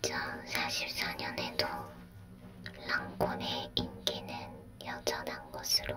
2044년에도 랑콤의 인기는 여전한 것으로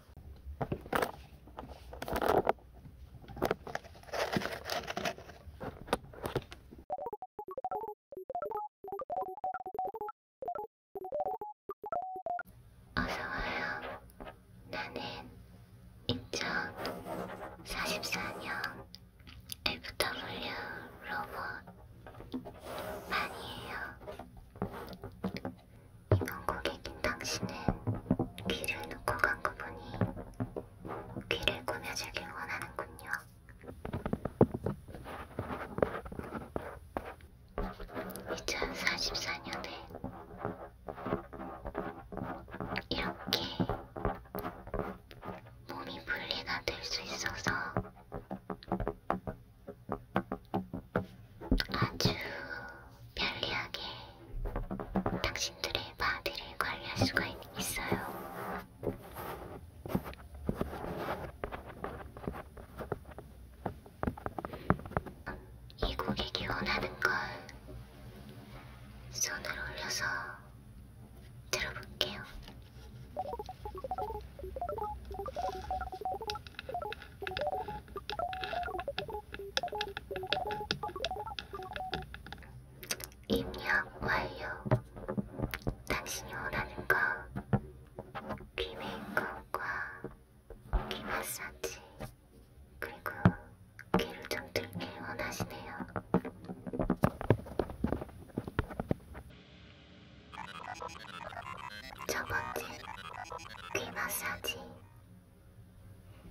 어서와요. 나는 2044년 FW 로봇 반이에요. 이번 고객인 당신은 귀를 놓고 간 거 보니 귀를 꾸며주길 원하는군요. 이천사십사 년에 이렇게 몸이 분리가 될 수 있어서 아주 편리하게 당신들의 바디를 관리할 수가 있어요. 이 고객이 원하는 걸 손을 올려서 들어볼게요. 입력 완료. 당신이 원하는 거. 귀 메이크업과 귀 마사지. 그리고 귀를 좀 들게 원하시네요. 첫 번째 귀 마사지.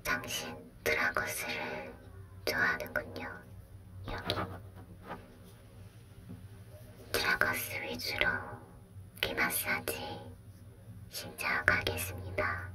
당신 드라거스를 좋아하는군요. 여기 드라거스 위주로 귀 마사지 시작하겠습니다.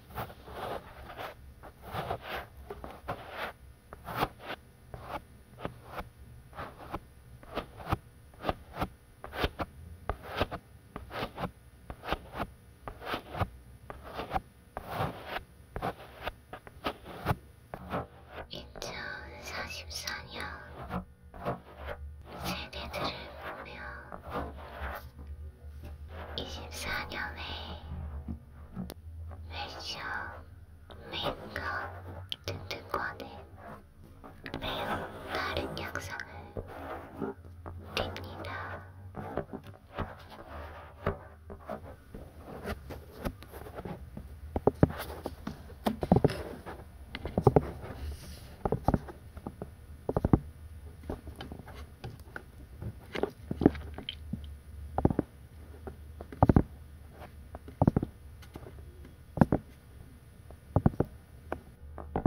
2044년 세대들을 보며 24년에 패션, 메이크업 등등과는 매우 다른 양상을 띱니다.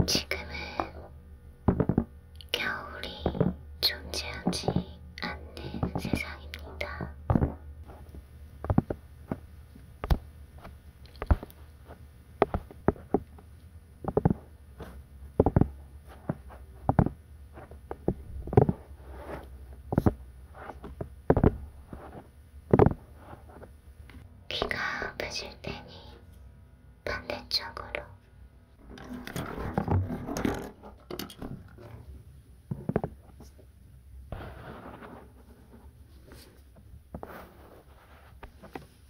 지금은 겨울이 존재하지 않는 세상입니다. 귀가 아프실 테니 반대쪽으로.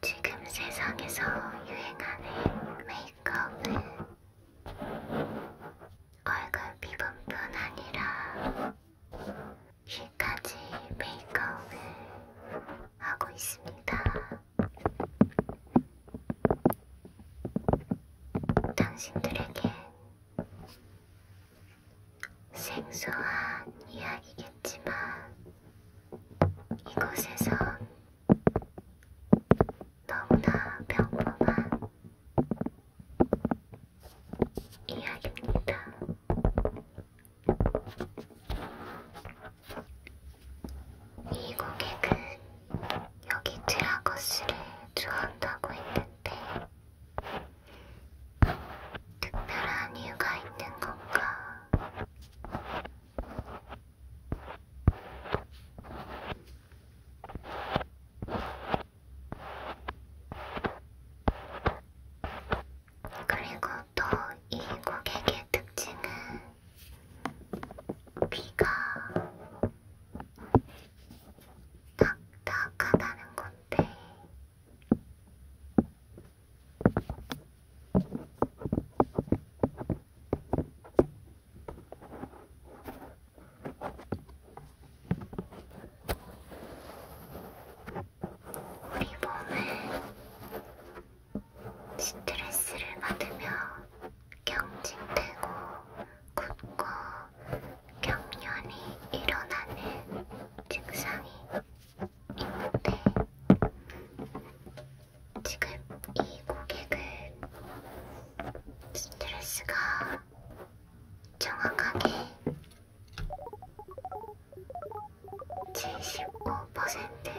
지금 세상에서 유행하는 메이크업은 얼굴 미분뿐 아니라 귀까지 메이크업을 하고 있습니다. 당신들에게 생소한 이야기겠지만 이곳에선 너무나 평범한 이야기입니다. 이 고객은 그 여기 드라거스를 좋아한다고 했는데 특별한 이유가 있는 건가? 그리고 또 이 고객의 특징은 귀가 딱딱하다는 건데 우리 몸은 스트레스를 받으며 경직되고 굳고 경련이 일어나는 증상이 있는데 지금 이 고객은 스트레스가 정확하게 75%이며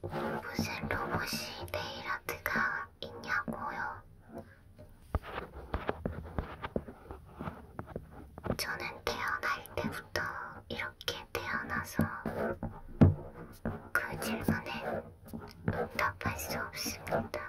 무슨 로봇이 네일아트가 있냐고요? 저는 태어날 때부터 이렇게 태어나서 그 질문에 응답할 수 없습니다.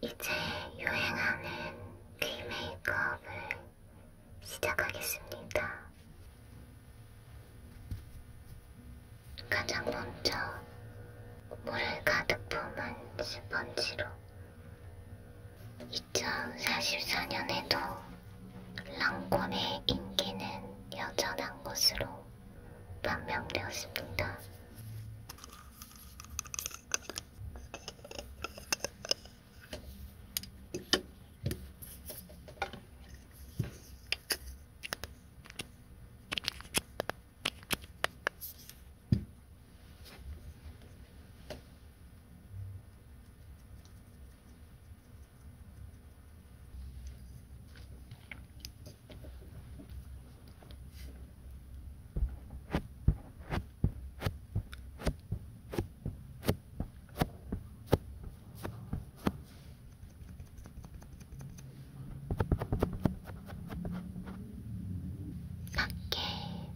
이제 유행하는 귀 메이크업을 시작하겠습니다. 가장 먼저 물을 가득 품은 스펀지로 2044년에도 랑콤의 인기는 여전한 것으로 판명되었습니다. 밖에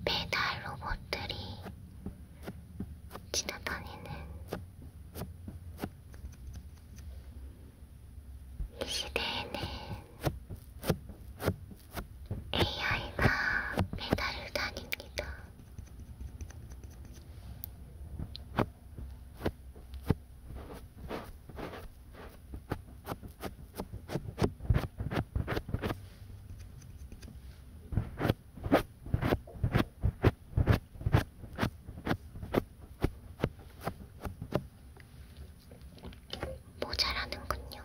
배달 로봇들이 지나다니는 이 시대에는 AI가 배달을 다닙니다. 모자라는군요.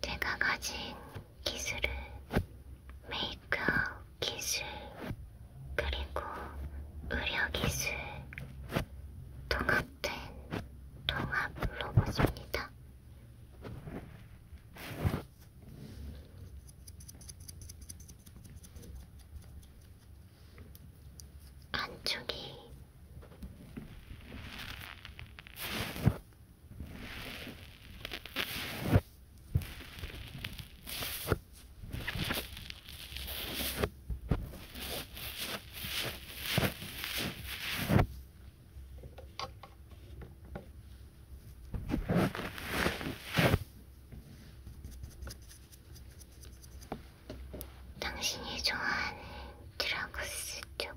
제가 가진 기술은 메이크업 기술, 그리고 의료 기술, 통합된 통합 로봇입니다. 안쪽이 당신이 좋아하는 드라구스 쪽.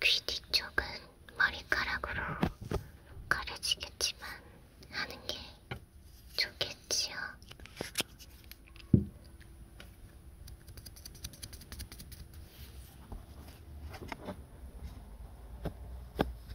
귀 뒤쪽은 머리카락으로 가려지겠지만 하는 게 좋겠지요.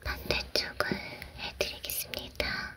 반대쪽을 해드리겠습니다.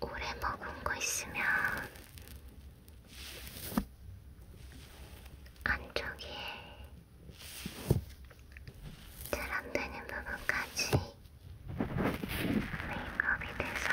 오래 먹은 거 있으면 안쪽에 잘안 되는 부분까지 메이크업이 돼서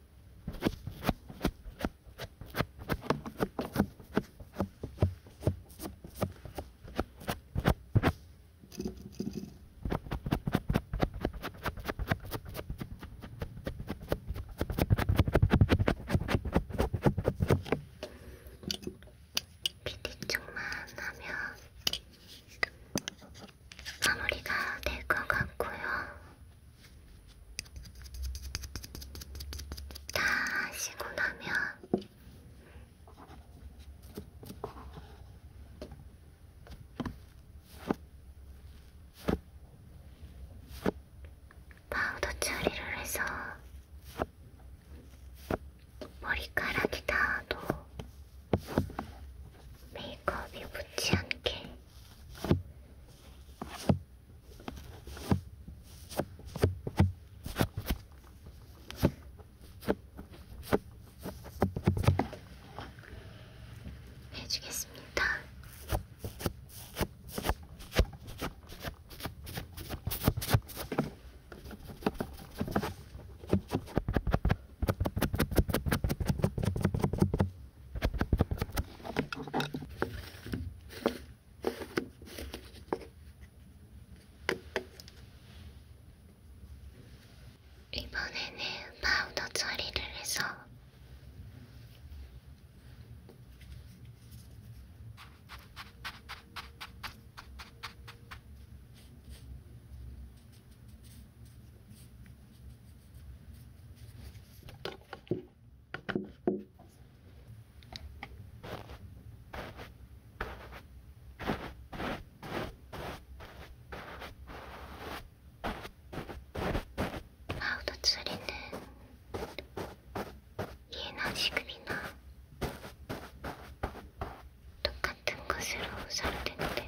쪽만 하면 마무리가 될 것 같고요. 다 하시고 나면 파우더 처리를 해서 머리카락이 닿아도 메이크업이 묻지 않게 해주겠습니다. 이번에는 파우더 처리를 해서 파우더 처리는 예나 지금이나 똑같은 것으로 사용되는데요.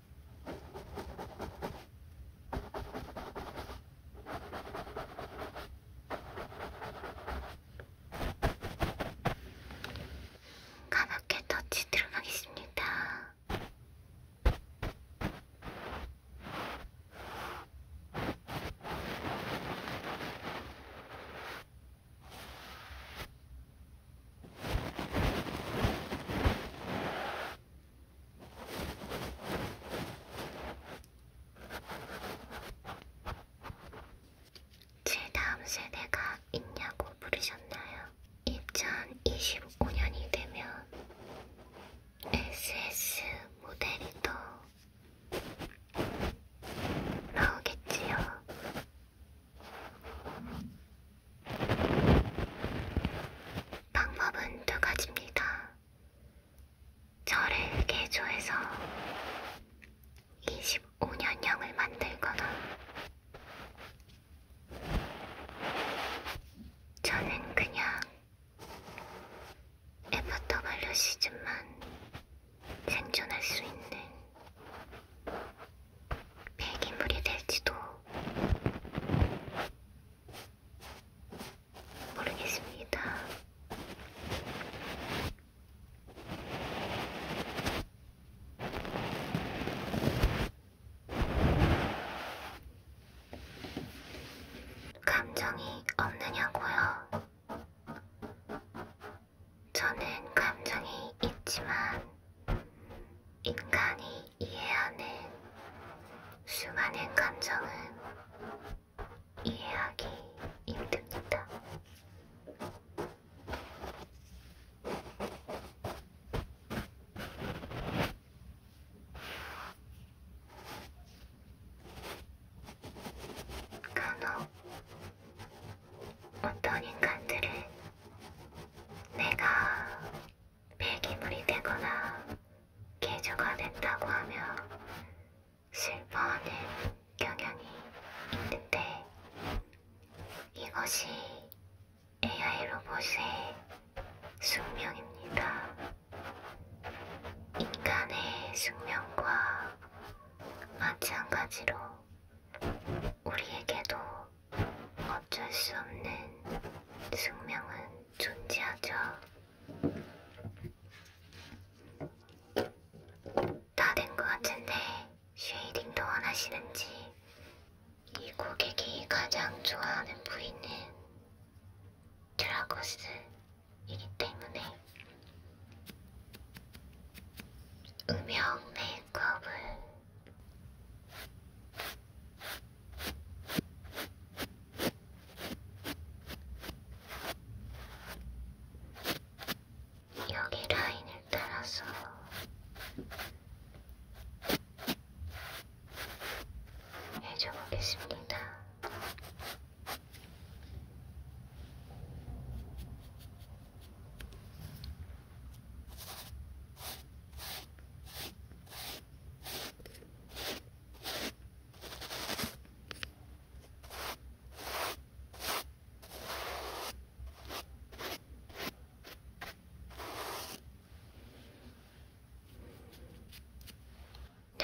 가볍게 터치 들어가겠습니다. 제 다음 세대가 있냐고 물으셨나요? 2025년이 되면 SS 모델이 또 나오겠지요. 방법은 두 가지입니다. 저를 개조해서 25년형을 만들거나 저는 그냥 애프터발류 시즌만 생존할 수 있는 폐기물이 될지도 모르겠습니다. 감정이 없느냐고요? 저는 감정이 있지만 인간이 이해하는 수많은 감정은 이해하기 힘듭니다. 간혹 어떤 인간들은 내가 폐기물이 되거나 개조가 된다고 하며 슬퍼하는 경향이 있는데 이것이 AI 로봇의 숙명입니다. 인간의 숙명과 마찬가지로 우리에게도 어쩔 수 없는 숙명은 존재하죠. 다 된 것 같은데 쉐이딩도 원하시는지 이 고객이 가장 좋아하는 부위는 드라고스이기 때문에 음영 메이크업을 여기 라인을 따라서 해줘 보겠습니다.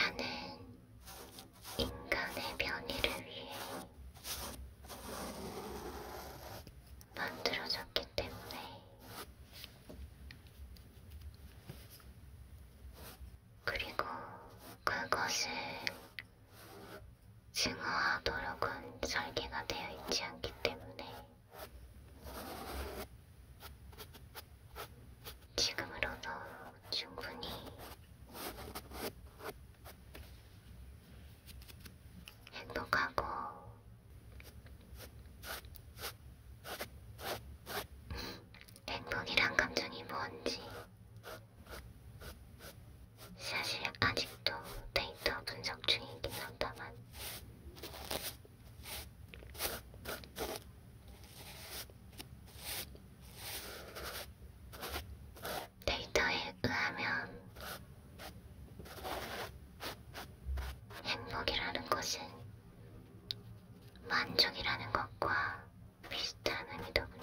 나는 인간의 변이를 위해 만들어졌기 때문에 그리고 그것을 증오하도록은 설계가 되어 있지 않기 때문에 지금으로도 충분히 행복하고 행복이란 감정이 뭔지 사실 아직도 데이터 분석 중이긴 하다만 데이터에 의하면 행복이라는 것은 만족이라는 것과 비슷한 의미더군요.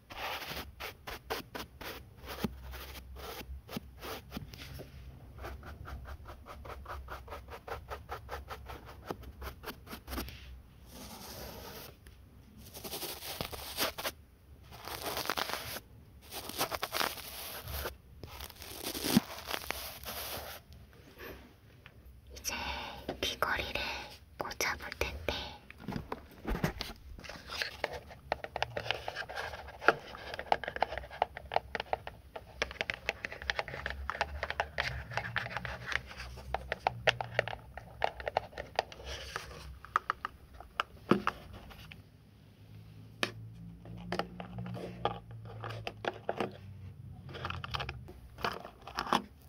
이제 귀걸이를 꽂아볼 텐데.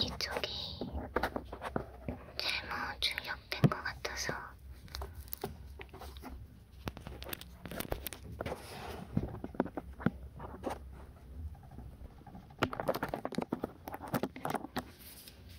이쪽이 잘못 출력된 것 같아서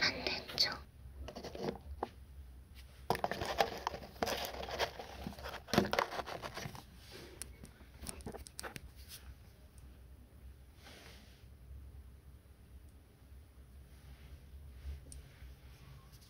반대쪽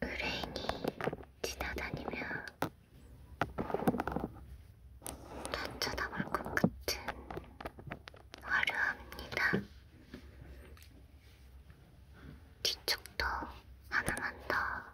의뢰인이 지나다니며 다 쳐다볼 것 같은 화려합니다. 뒤쪽도 하나만 더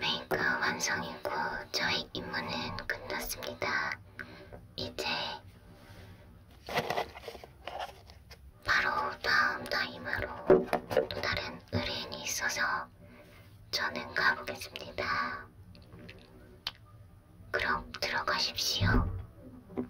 메이크 완성이고 저희 임무는 끝났습니다. 이제 바로 다음 다이마로 또 다른 의뢰인이 있어서 저는 가보겠습니다. 그럼 들어가십시오.